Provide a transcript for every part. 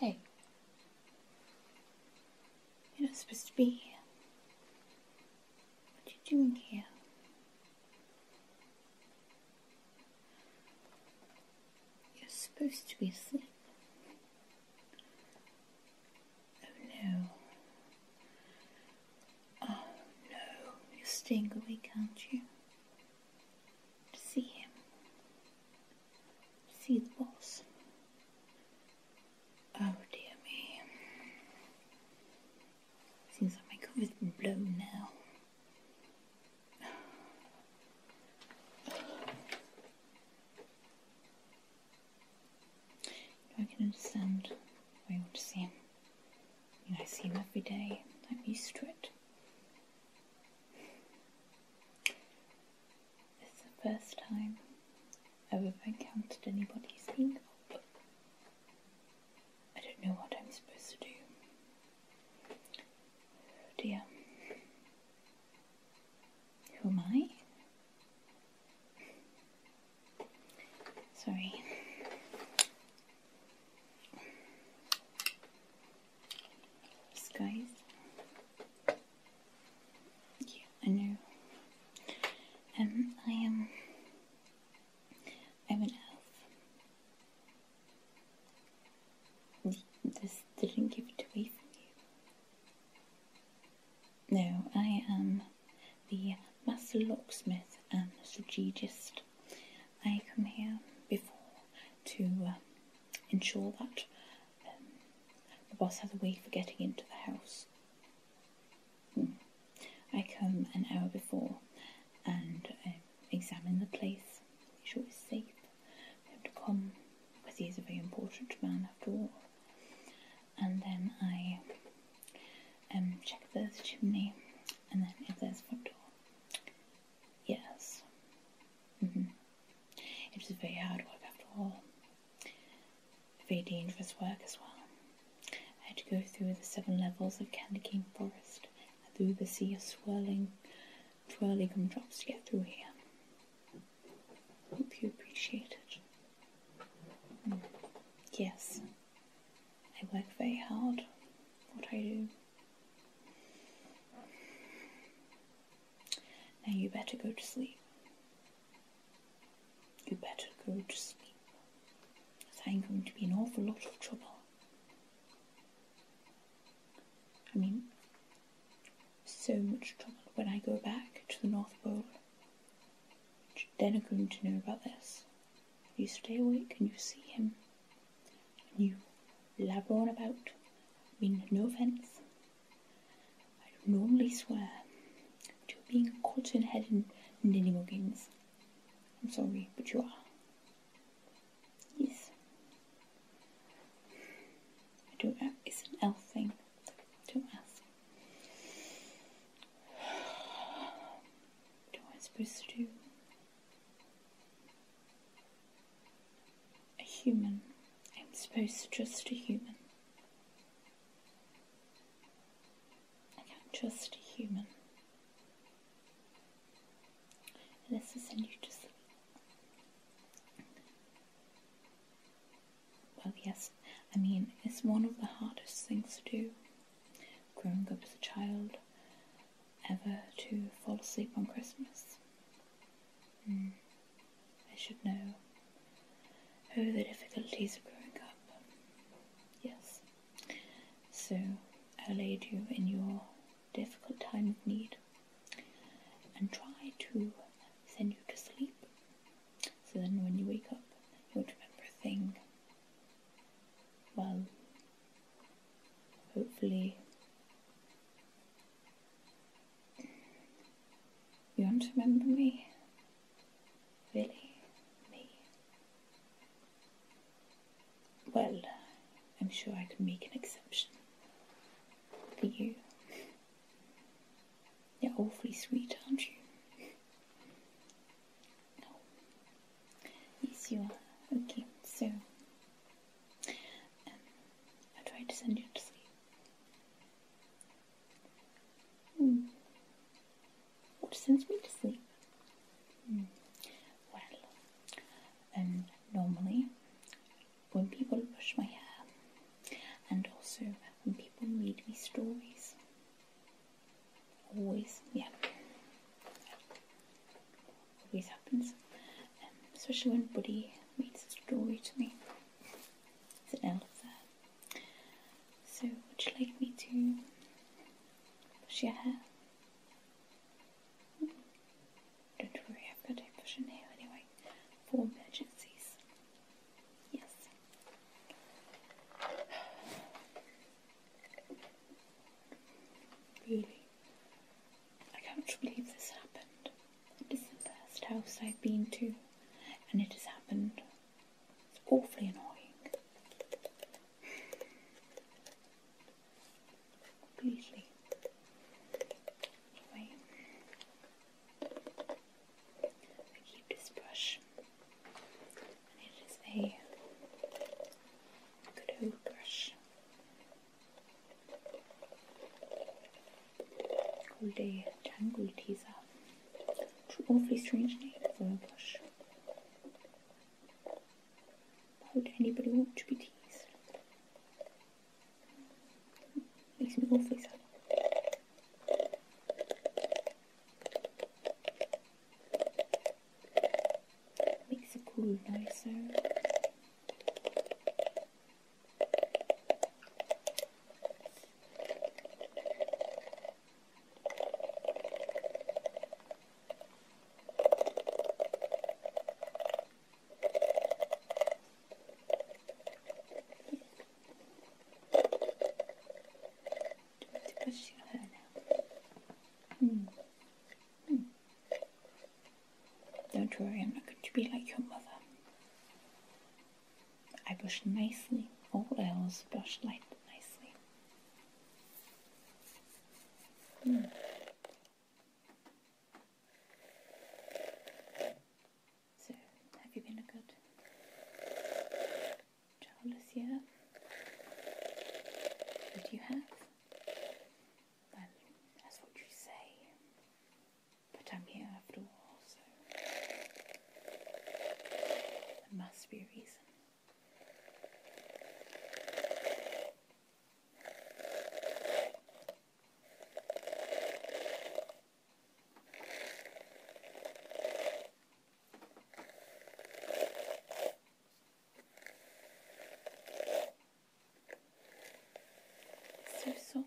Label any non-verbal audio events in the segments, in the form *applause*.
Hey, you're not supposed to be here. What are you doing here? You're supposed to be asleep. Oh no. Oh no, you're staying awake, aren't you? see him. see the boss. Oh dear me. Seems like my cover's been blown now. I can understand why you want to see him. I, mean, I see him every day. I'm used to it. This is the first time i encountered anybody's being I don't know what I'm supposed to do. Oh dear. Who am I? Sorry. Skies. Yeah, I know. Um, I am I'm an elf. This didn't give it away from you. No, I am the master locksmith and strategist. I come here before to uh, ensure that um, the boss has a way for getting into the house. Hmm. I come an hour before and uh, examine the place, make sure it's safe for to come, because he is a very important man after all. And then I um, check the chimney, and then if there's front door. Yes. Mm-hmm. it's a very hard work after all very dangerous work as well. I had to go through the seven levels of candy cane forest and through the sea of swirling, twirly gumdrops to get through here. Hope you appreciate it. Hmm. Yes, I work very hard. What I do. Now you better go to sleep. You better go to sleep, I'm going to be in an awful lot of trouble. I mean, so much trouble when I go back to the North Pole. Then are going to know about this. You stay awake and you see him. you blabber on about. I mean, no offence. I normally swear, to being a cotton headed ninnigoggins. I'm sorry, but you are. Yes. I don't know. It's an elf thing. Don't ask. What *sighs* am I supposed to do? A human. I'm supposed to trust a human. Okay, just human. Let's just send you just. Well, yes, I mean, it's one of the hardest things to do. Growing up as a child, ever to fall asleep on Christmas. Hmm. I should know. Oh, the difficulties of growing up. Yes. So, I laid you in your difficult time of need and try to send you to sleep. So then when you wake up, you won't remember a thing. Well, hopefully, you won't remember me. Really? Me? Well, I'm sure I can make an exception. For you. You're awfully sweet, aren't you? Yes, you are. Okay, so. Um, I'll try to send you to sleep. Mm. What sends me to sleep? Mm. Well, um, normally when people brush my hair, and also when people read me stories, always, yeah, always happens. Um, especially when Buddy reads a story to me. Citadel of that. So, would you like me to brush your hair? Mm-hmm. Don't worry, I've got a brush in here anyway for emergencies. Yes. *sighs* Really, I can't believe this happened. It is the first house I've been to, and it has happened Awfully annoying. Anyway, I keep this brush, it is a good old brush. Called a teaser. Awfully strange name for a would anybody want to be teased? Makes me awfully sad. Makes the glue nicer. Don't worry, I'm not going to be like your mother. I brushed nicely, oh, all else brushed light nicely. Hmm. So, have you been good child this year? you have? that's what you say. But I'm here after all, so there must be a reason. So soft.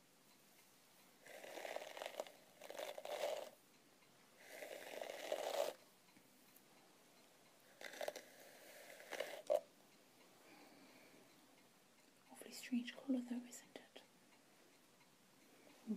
Awfully strange colour though, isn't it? Mm.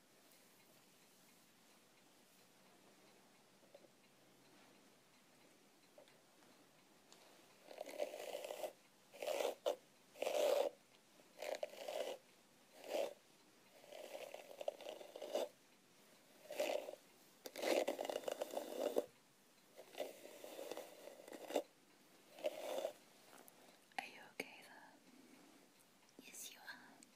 Are you okay though? Yes, you are.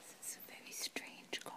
This is a very strange color.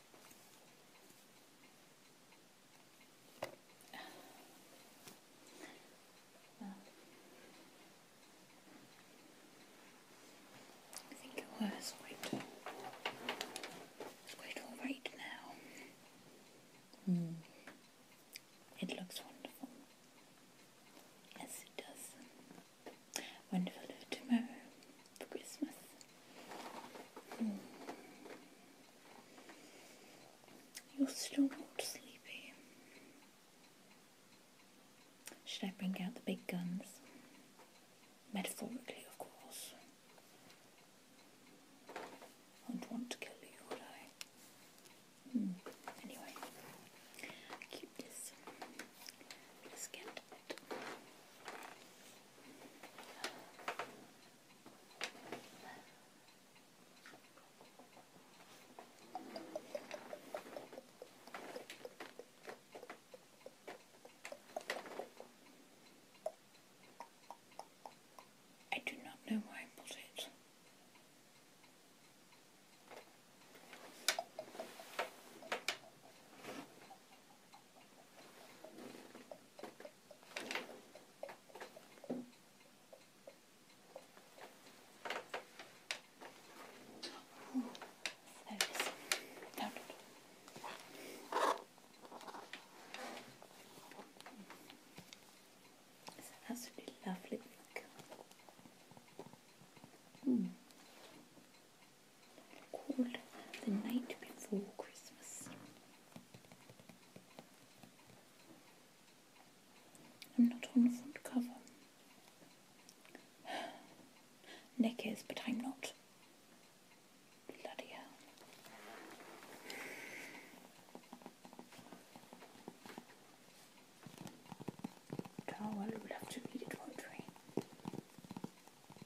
I think it was quite, quite all right now. Mm. It looks wonderful. Yes, it does. Wonderful tomorrow for Christmas. Hmm. You're still not sleepy. Should I bring out the big guns? Metaphorically, of course. I do want to kill you, would I? Hmm. Anyway, keep this. Let's get it. I do not know why I put it. Ooh, there it is. Down absolutely lovely. Mm called The Night Before Christmas. I'm not on the front cover. *sighs* Nick is, but I'm not. Bloody hell. Oh, well, we to read it, won't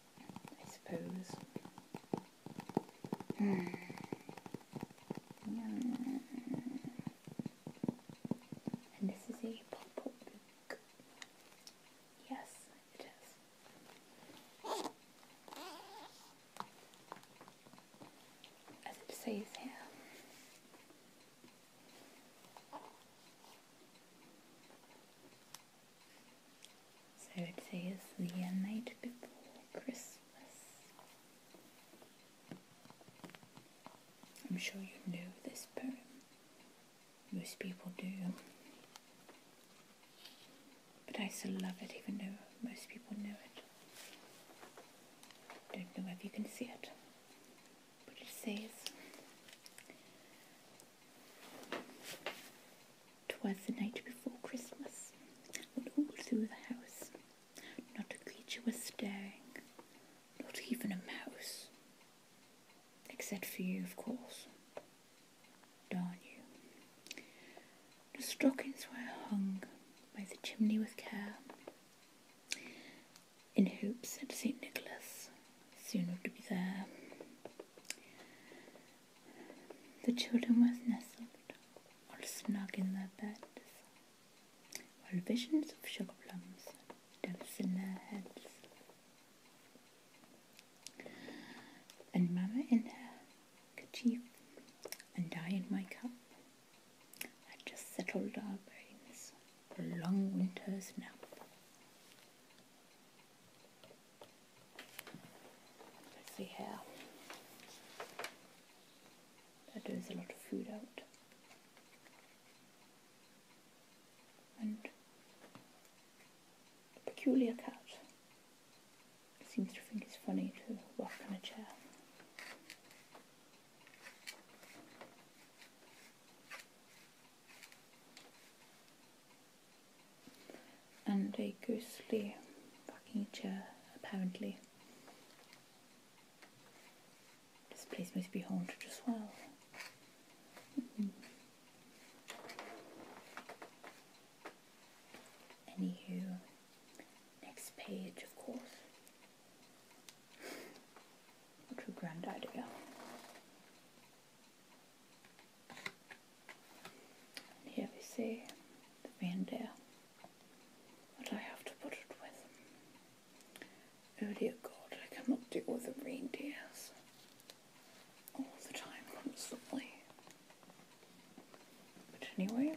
I suppose. Hmm. And this is a pop book. Yes, it is. As it says here. So it says the night before Christmas. I'm sure you know this poem. Most people do. But I still love it even though most people know it. Don't know if you can see it. But it says Twas the night before Christmas, and all through the house not a creature was stirring, not even a mouse. Except for you, of course. Darn you. The stockings were hung by the chimney with care, in hopes that St. Nicholas soon would be there. The children were nestled all snug in their beds, while visions of sugar plums danced in their heads. And Mamma in her kerchief and I in my cup had just settled our brains for a long winter's nap. Let's see here. That is a lot of food out. And peculiar cat seems to think it's funny to rock on a chair and a ghostly fucking chair, apparently. This place must be haunted as well. Mm-hmm. Anywho, next page, of course. Not too grand idea here we see the reindeer that I have to put it with. Oh dear God, I cannot deal with the reindeers all the time, constantly. But anyway.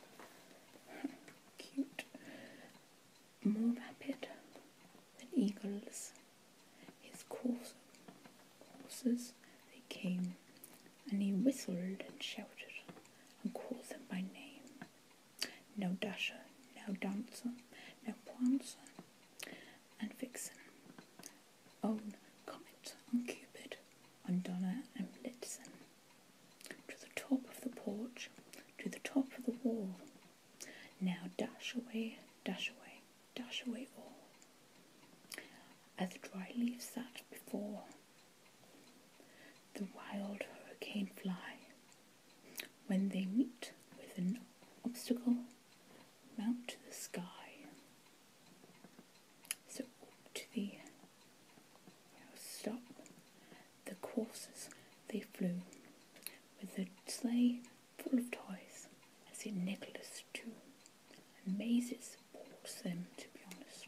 *laughs* Cute more rapid than eagles. His coursers they came, and he whistled and shouted, and called them by name. Now Dasher, now Dancer, now Prancer, and Vixen. On Comet, on Cupid, and Donna and Blitzen. To the top of the porch, to the top of the wall, now dash away, dash away, dash away all, as dry leaves that before the wild hurricane fly, when they meet with an obstacle, mount to the sky. So to the stop the courses they flew, with a sleigh full of toys. I see Nicholas too, and mazes balls them to be honest.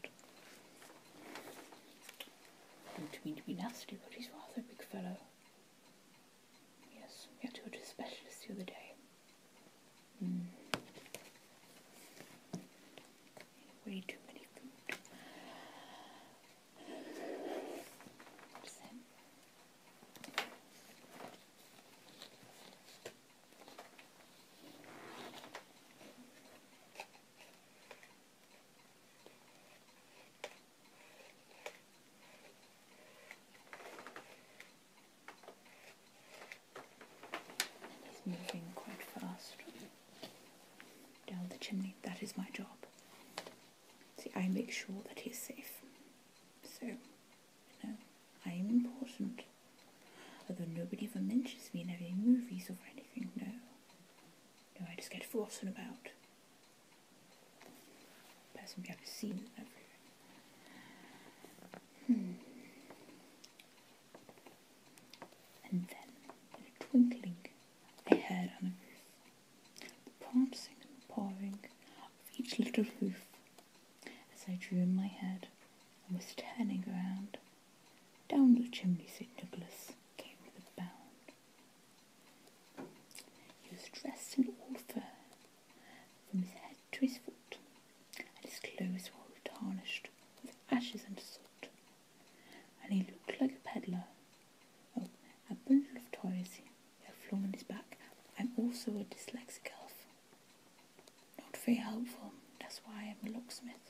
don't mean to be nasty, but he's rather a big fellow. Yes, we had to go to a specialist the other day. Hmm. Way too many food. He's moving quite fast down the chimney. That is my job. See, I make sure that he's safe. So, you know, I am important. Although nobody ever mentions me in any movies or anything, no. No, I just get forgotten about. Person we haven't seen and Hmm. And then, in a twinkling, I heard on the roof the prancing and pawing of each little hoof as I drew in my head and was turning around. Down the chimney St. Nicholas came with a bound. He was dressed in all fur, from his head to his foot, and his clothes were all tarnished with ashes and soot, and he looked like a peddler a bundle of toys he had flung on his back. I'm also a dyslexic elf. Not very helpful, that's why I'm a locksmith.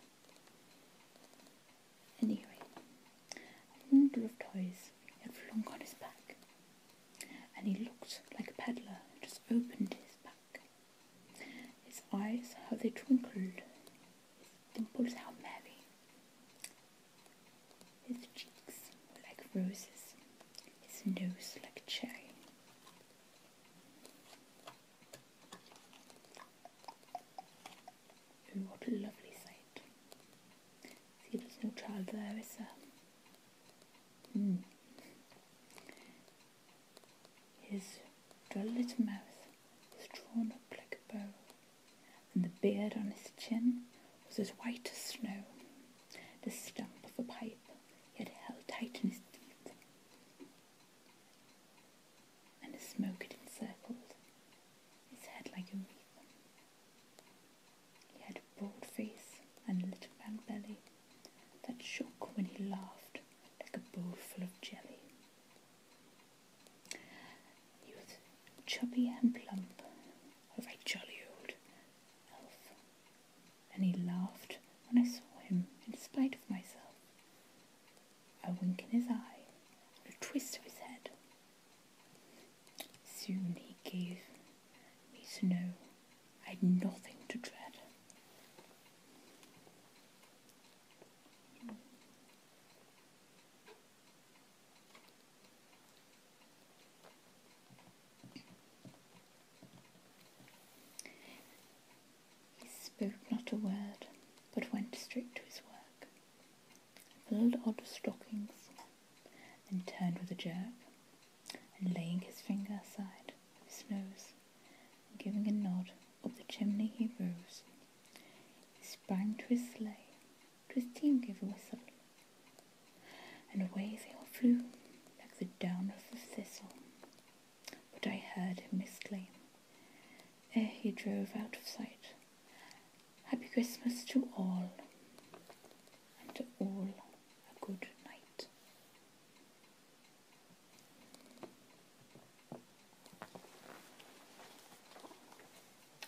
Anyway, a bundle of toys he had flung on his back, and he looked like a peddler just opened his back. His eyes, how they twinkled, his dimples, out merry. His cheeks like roses, his nose like cherry. Oh, what a lovely sight. See, there's no child there, is there? Mm. His little mouth is drawn up like a bow and the beard on his chin was as white as snow. The stump of a pipe he had held tight in his teeth, and the smoke had encircled his head like a wreath. He had a broad face and a little round belly that shook when he laughed like a bowl full of jelly. He was chubby and plump, a very jolly old elf, and he laughed when I saw him in spite of myself. A wink in his eye, a twist of his head. Soon he gave me to know I had nothing to dread. He spoke not a word, but went straight to his work, filled odd stockings, and turned with a jerk, and laying his finger aside of his nose, and giving a nod up the chimney he rose, he sprang to his sleigh Christine gave a whistle, and away they all flew like the down of the thistle. But I heard him exclaim, ere he drove out of sight, Happy Christmas to all, and to all a good night.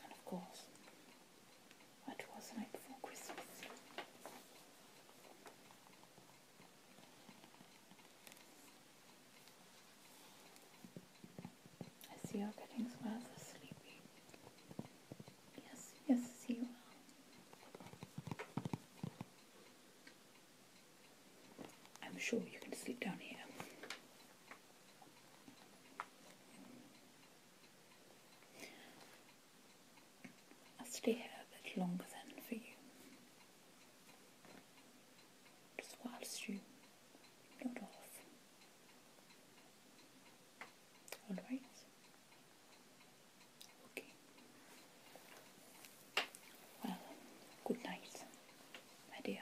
And of course, what was right Christmas? I see you're getting rather sleepy. Yes, yes, you are. I'm sure you can sleep down here. I'll stay here a bit longer than for you. Just whilst you nod off. Alright. Okay. Well, good night, my dear.